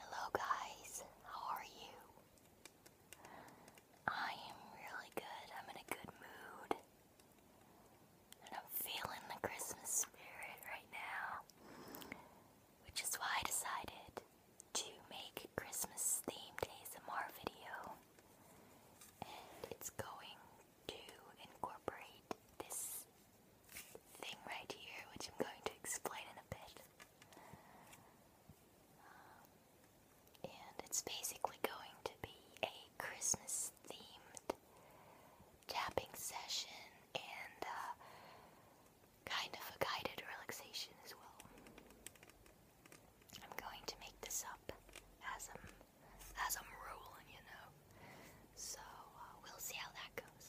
Hello guys, how are you? I am really good. I'm in a good mood. And I'm feeling the Christmas spirit right now. Which is why I decided to make a Christmas themed ASMR video. And it's going to incorporate this thing right here, which I'm going to explain in a bit. Um, and it's basically going to be a Christmas themed tapping session and uh, kind of a guided relaxation as well. I'm going to make this up as I'm as I'm rolling, you know. So uh, we'll see how that goes.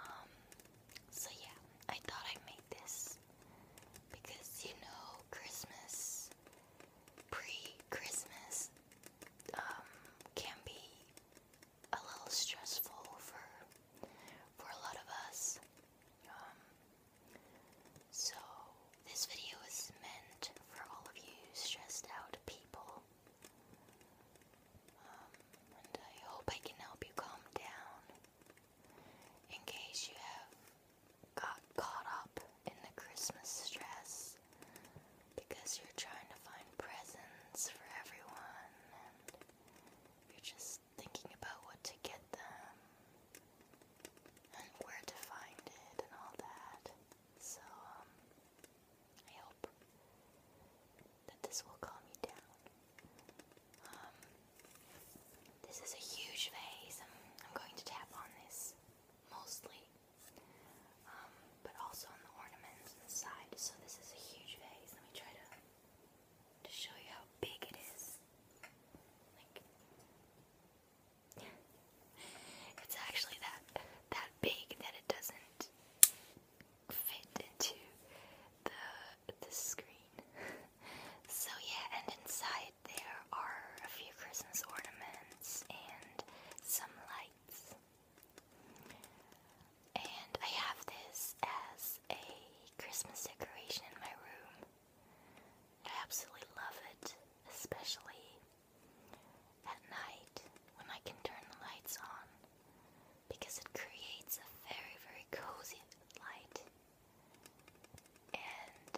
Um, so yeah, I thought I'd make this because you know Christmas, pre-Christmas, um, can be a little stressful for for a lot of us. Um, so this video is meant for all of you stressed out people um, I hope I can help you calm down in case you have got caught up in the Christmas stress because you're trying to find presents for everyone and you're just thinking about what to get them and where to find it and all that. So, um, I hope that this will calm you down. Um, this is a huge vase. I'm, going to tap on this mostly, um, but also on the ornaments on the side. So this is a huge vase. Let me try to to show you how big it is. It's actually that that big that it doesn't fit into the the screen. so yeah, and inside there are a few Christmas ornaments and some lights. And I have this as a Christmas decoration in my room. I absolutely love it, especially at night when I can turn the lights on because it creates a very, very cozy light and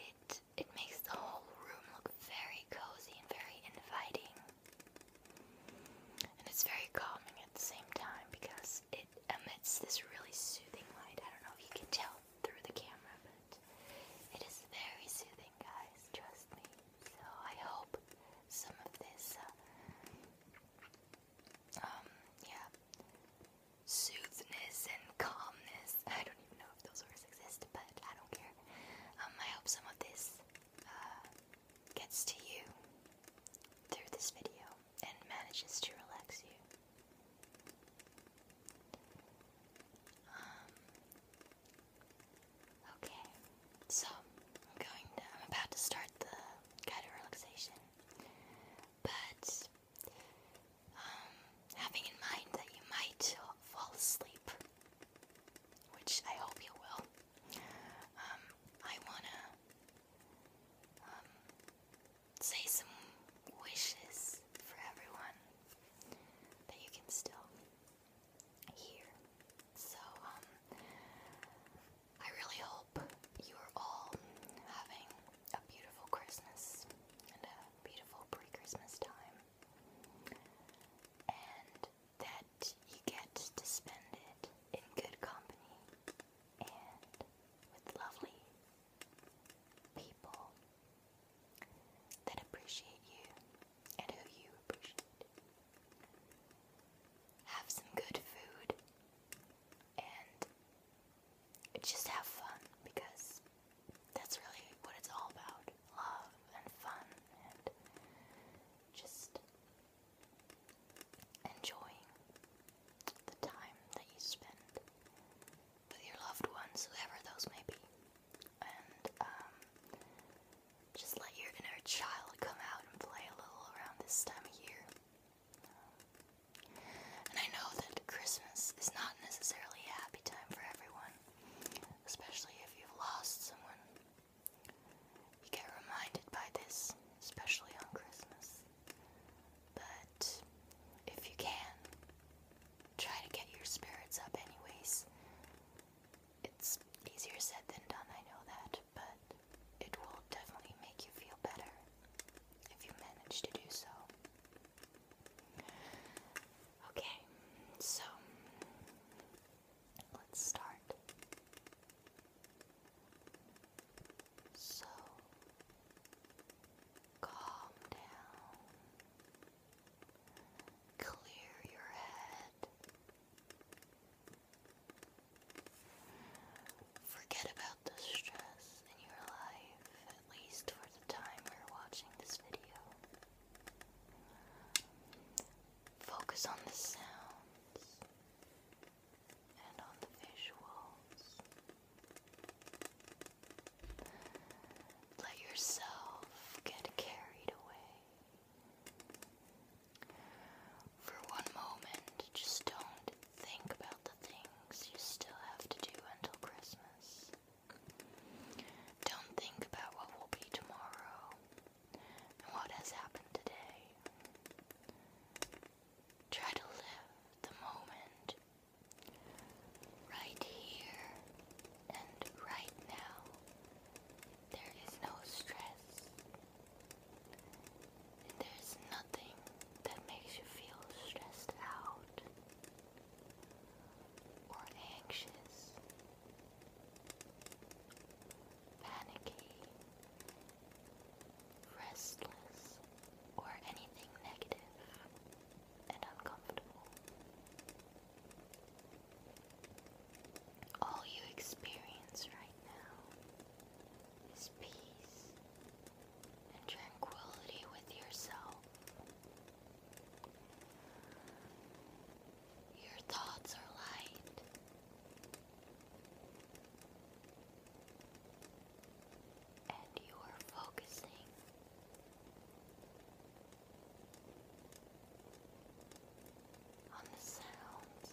it it makes the whole room look very cozy and very inviting. And it's very calming at the same time because it emits this really soothing light. I don't know if you can tell through the camera, it is very soothing, guys, trust me. So I hope some of this, uh, um, yeah, soothness and calmness. I don't even know if those words exist, but I don't care. Um, I hope some of this uh, gets to you through this video and manages to relax you. Um, Okay, so I'm going to, I'm about to start the guided relaxation, but um, having in mind that you might fall asleep, which I hope you will, um, I wanna um, say some wishes for everyone that you can still hear. So, um, I really hope you are all having a beautiful Christmas and a beautiful pre Christmas time, and that you get to spend it in good company and with lovely people that appreciate you and who you appreciate. Have some good food and just have fun because that's really what it's all about love and fun and just enjoying the time that you spend with your loved ones, whoever those may be. And um, just let your inner child come out and play a little around this time of year. And I know that Christmas is not necessarily a happy time for everyone, especially if you've lost someone. You get reminded by this, especially on Christmas. But if you can, try to get your spirits up, anyways. It's easier said than done, I know that, but it will definitely make you feel better if you manage to do so. Okay, so let's start. So calm down. Clear your head. Forget about the stress in your life, at least for the time you're watching this video. Focus on the sounds and on the visuals. Let yourself get carried away. For one moment, just don't think about the things you still have to do until Christmas. Don't think about what will be tomorrow and what has happened today. Try to live the moment Right here and right now, there is no stress, and there's nothing that makes you feel stressed out or anxious, panicky, restless, or anything negative and uncomfortable. All you experience right now is peace and tranquility with yourself. Your thoughts are light and you are focusing on the sounds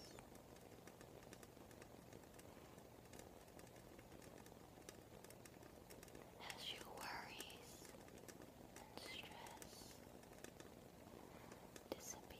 as your worries and stress disappear.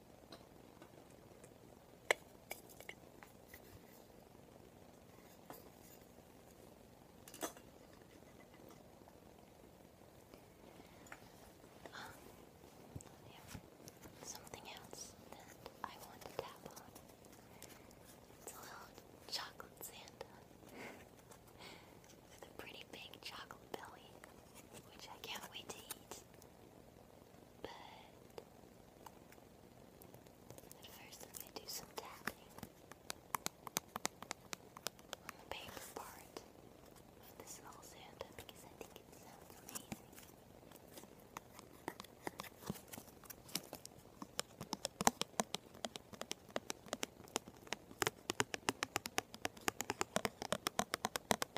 Um, yeah. Something else that I want to tap on. It's a little chocolate Santa with a pretty big chocolate belly, which I can't wait to eat. But first I'm going to do some tapping on the paper part of this little Santa because I think it sounds amazing.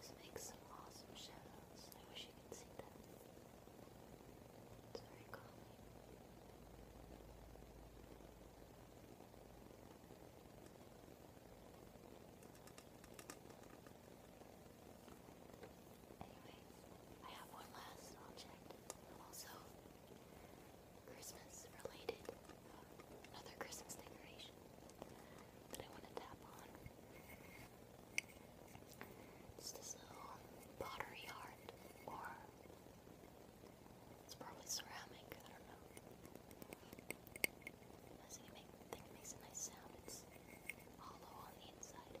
This makes some awesome shadows. I wish you could see them. It's I have one last object. Also, Christmas related. Another Christmas decoration that I want to tap on. It's this little pottery heart or it's probably ceramic, I don't know. I it, make, think it makes a nice sound. It's hollow on the inside.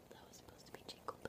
That was supposed to be jingle bells.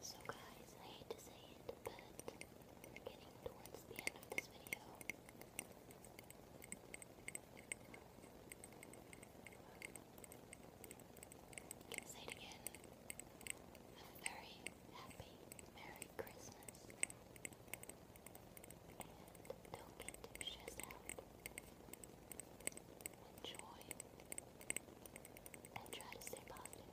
So guys, I hate to say it, but getting towards the end of this video. I can say it again. A very happy Merry Christmas. And don't get too stressed out. Enjoy. And try to stay positive.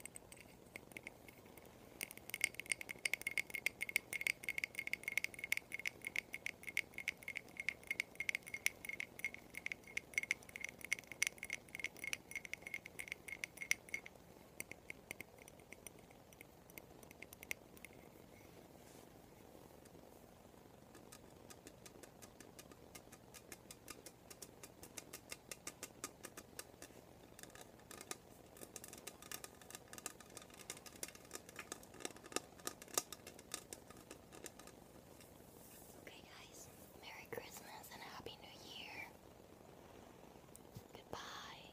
Okay, guys, Merry Christmas and Happy New Year. Goodbye.